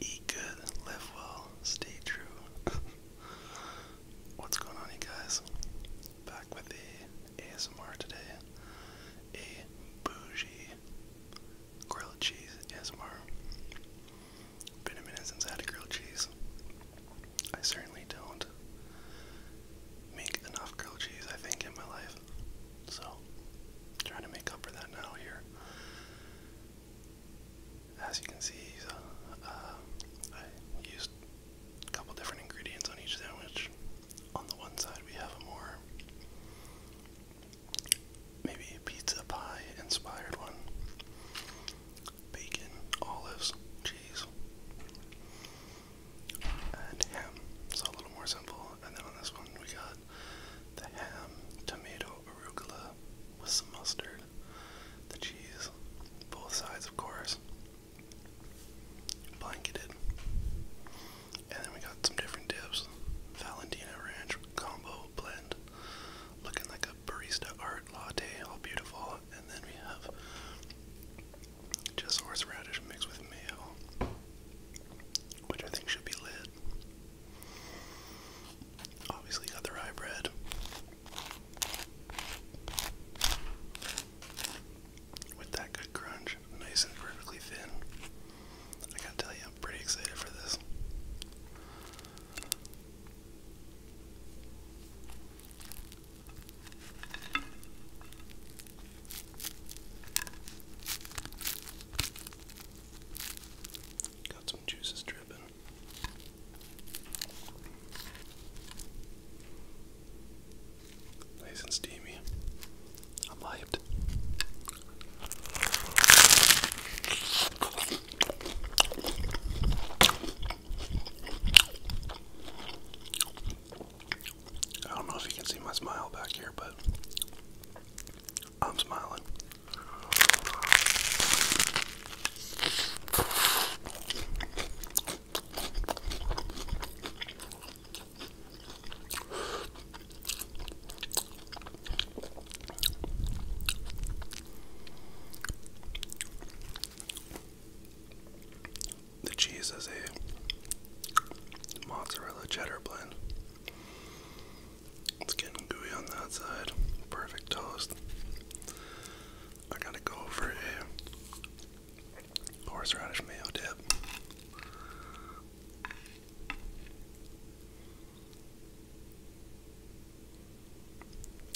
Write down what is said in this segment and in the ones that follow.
Eat good, live well, stay true. What's going on, you guys? Back with the ASMR today. A bougie grilled cheese ASMR. Been a minute since I had a grilled cheese. I certainly don't make enough grilled cheese, I think, in my life. So, trying to make up for that now here. As you can see, uh, uh, I used a couple different ingredients on each sandwich. On the one side, we have a more maybe a pizza pie inspired one. Bacon, olives, cheese, and ham. So a little more simple. And then on this one, we got the ham, tomato, arugula with some mustard, the cheese, both sides, of course, blanketed. And then we got some different dips. Valentina Ranch Combo Blend, looking like a barista art latte, all beautiful. And then we have just horseradish mixed with mayo, which I think should be lit. Obviously, got the With that good crunch, nice and perfectly thin. I gotta tell you, I'm pretty excited for this. Got some juices dripping. Nice and steamy. I'm hyped. I don't know if you can see my smile back here, but I'm smiling. The cheese is a mozzarella cheddar blend. It's getting gooey on that side. Perfect toast. I gotta go for a horseradish mayo dip.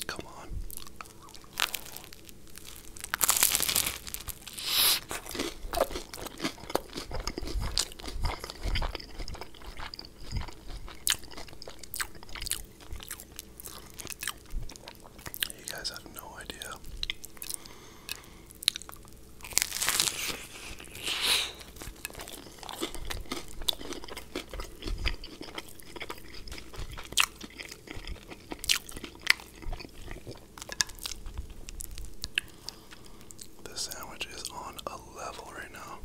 Come on. You guys have no idea this sandwich is on a level right now.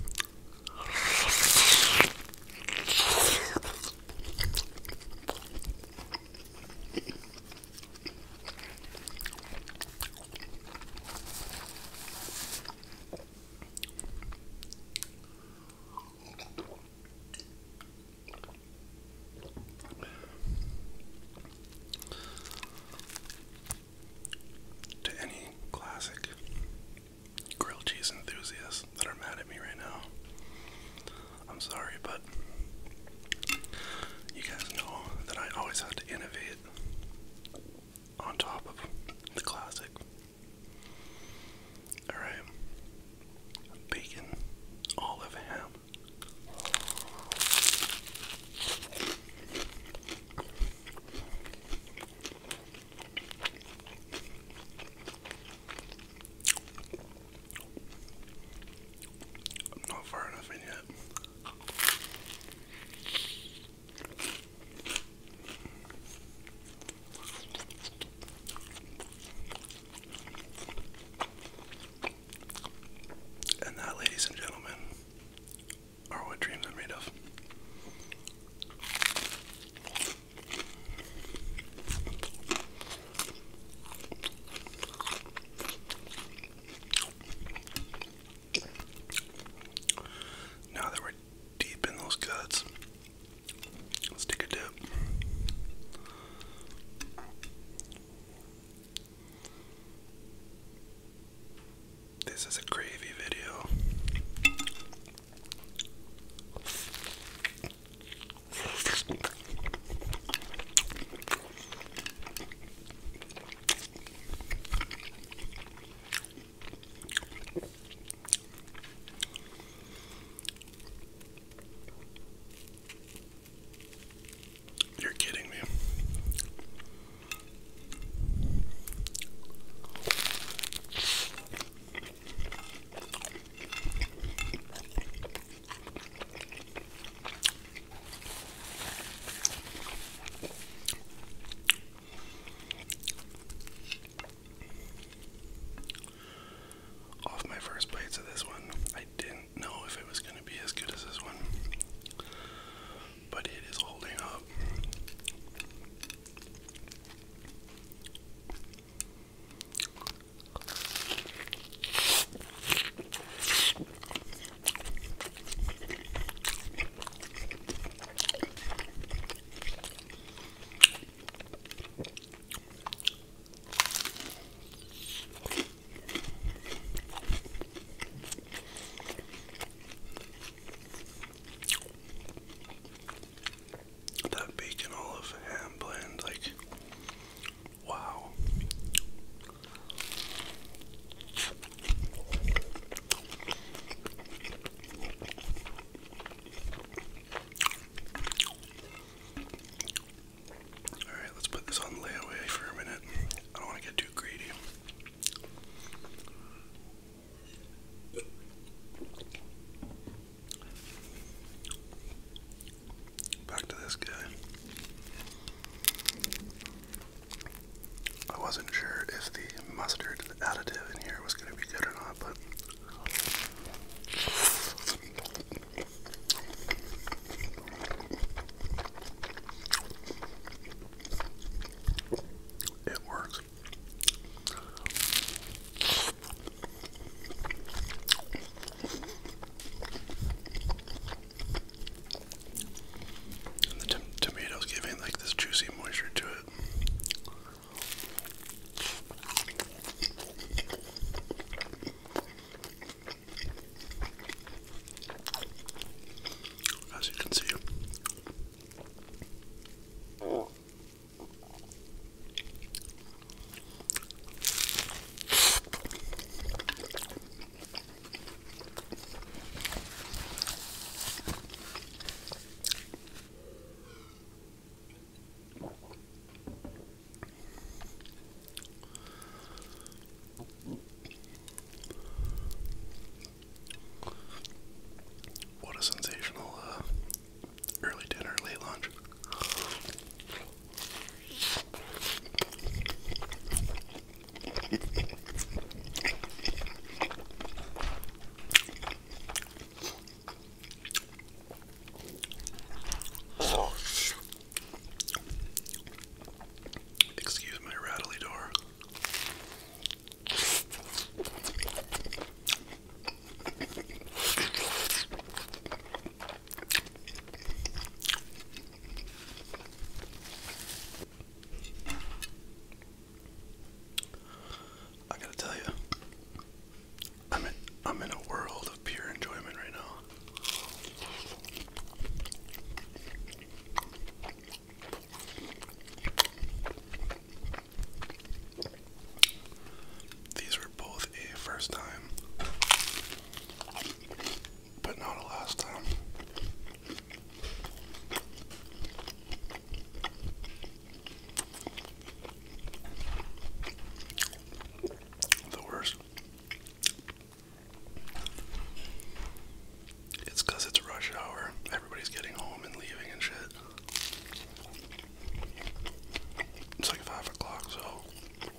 To any classic grilled cheese enthusiasts that are mad at me right now, I'm sorry, but you guys know that I always have to innovate on top of the classic. Alright. Bacon, olive, ham. not far enough in yet. And that, ladies and gentlemen, are what dreams are made of. Now that we're deep in those cuts, let's take a dip. This is a gravy video. You're kidding me. Off my first bites of this one, I didn't know if it was going to be as good as this one, but it is holding up. That bacon olive ham blend, like Wow. Alright, let's put this on layaway for a minute. I don't want to get too greedy. Back to this guy. I wasn't sure if the mustard additive in here was going to be good or not, but. It works the tomatoes giving like this juicy moisture to it. As you can see. What a sensational uh, early dinner, late lunch. Excuse my rattly door. I gotta tell you, I'm in, I'm in a world of pure enjoyment right now. These were both a first time but not the last time. The worst. It's it's rush hour. Everybody's getting home and leaving and shit. It's like 5 o'clock, so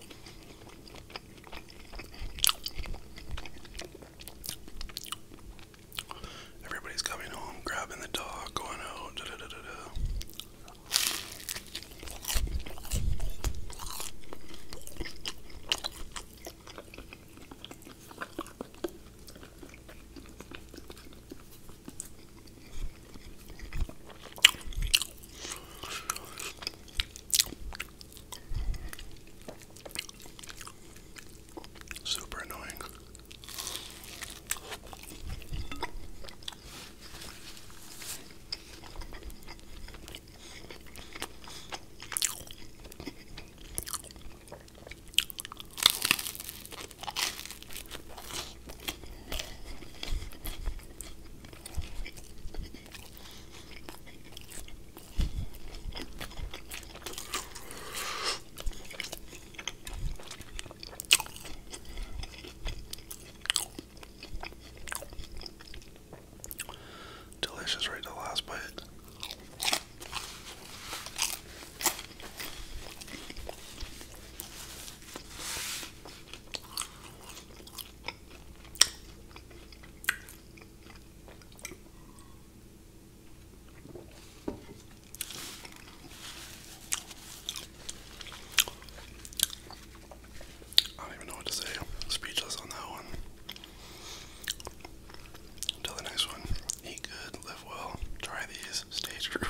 Everybody's coming home, grabbing the dog, going out. Super annoying. Delicious right to the last bite. I don't even know what to say. Speechless on that one. Until the next one, eat good, live well, try these, stay true.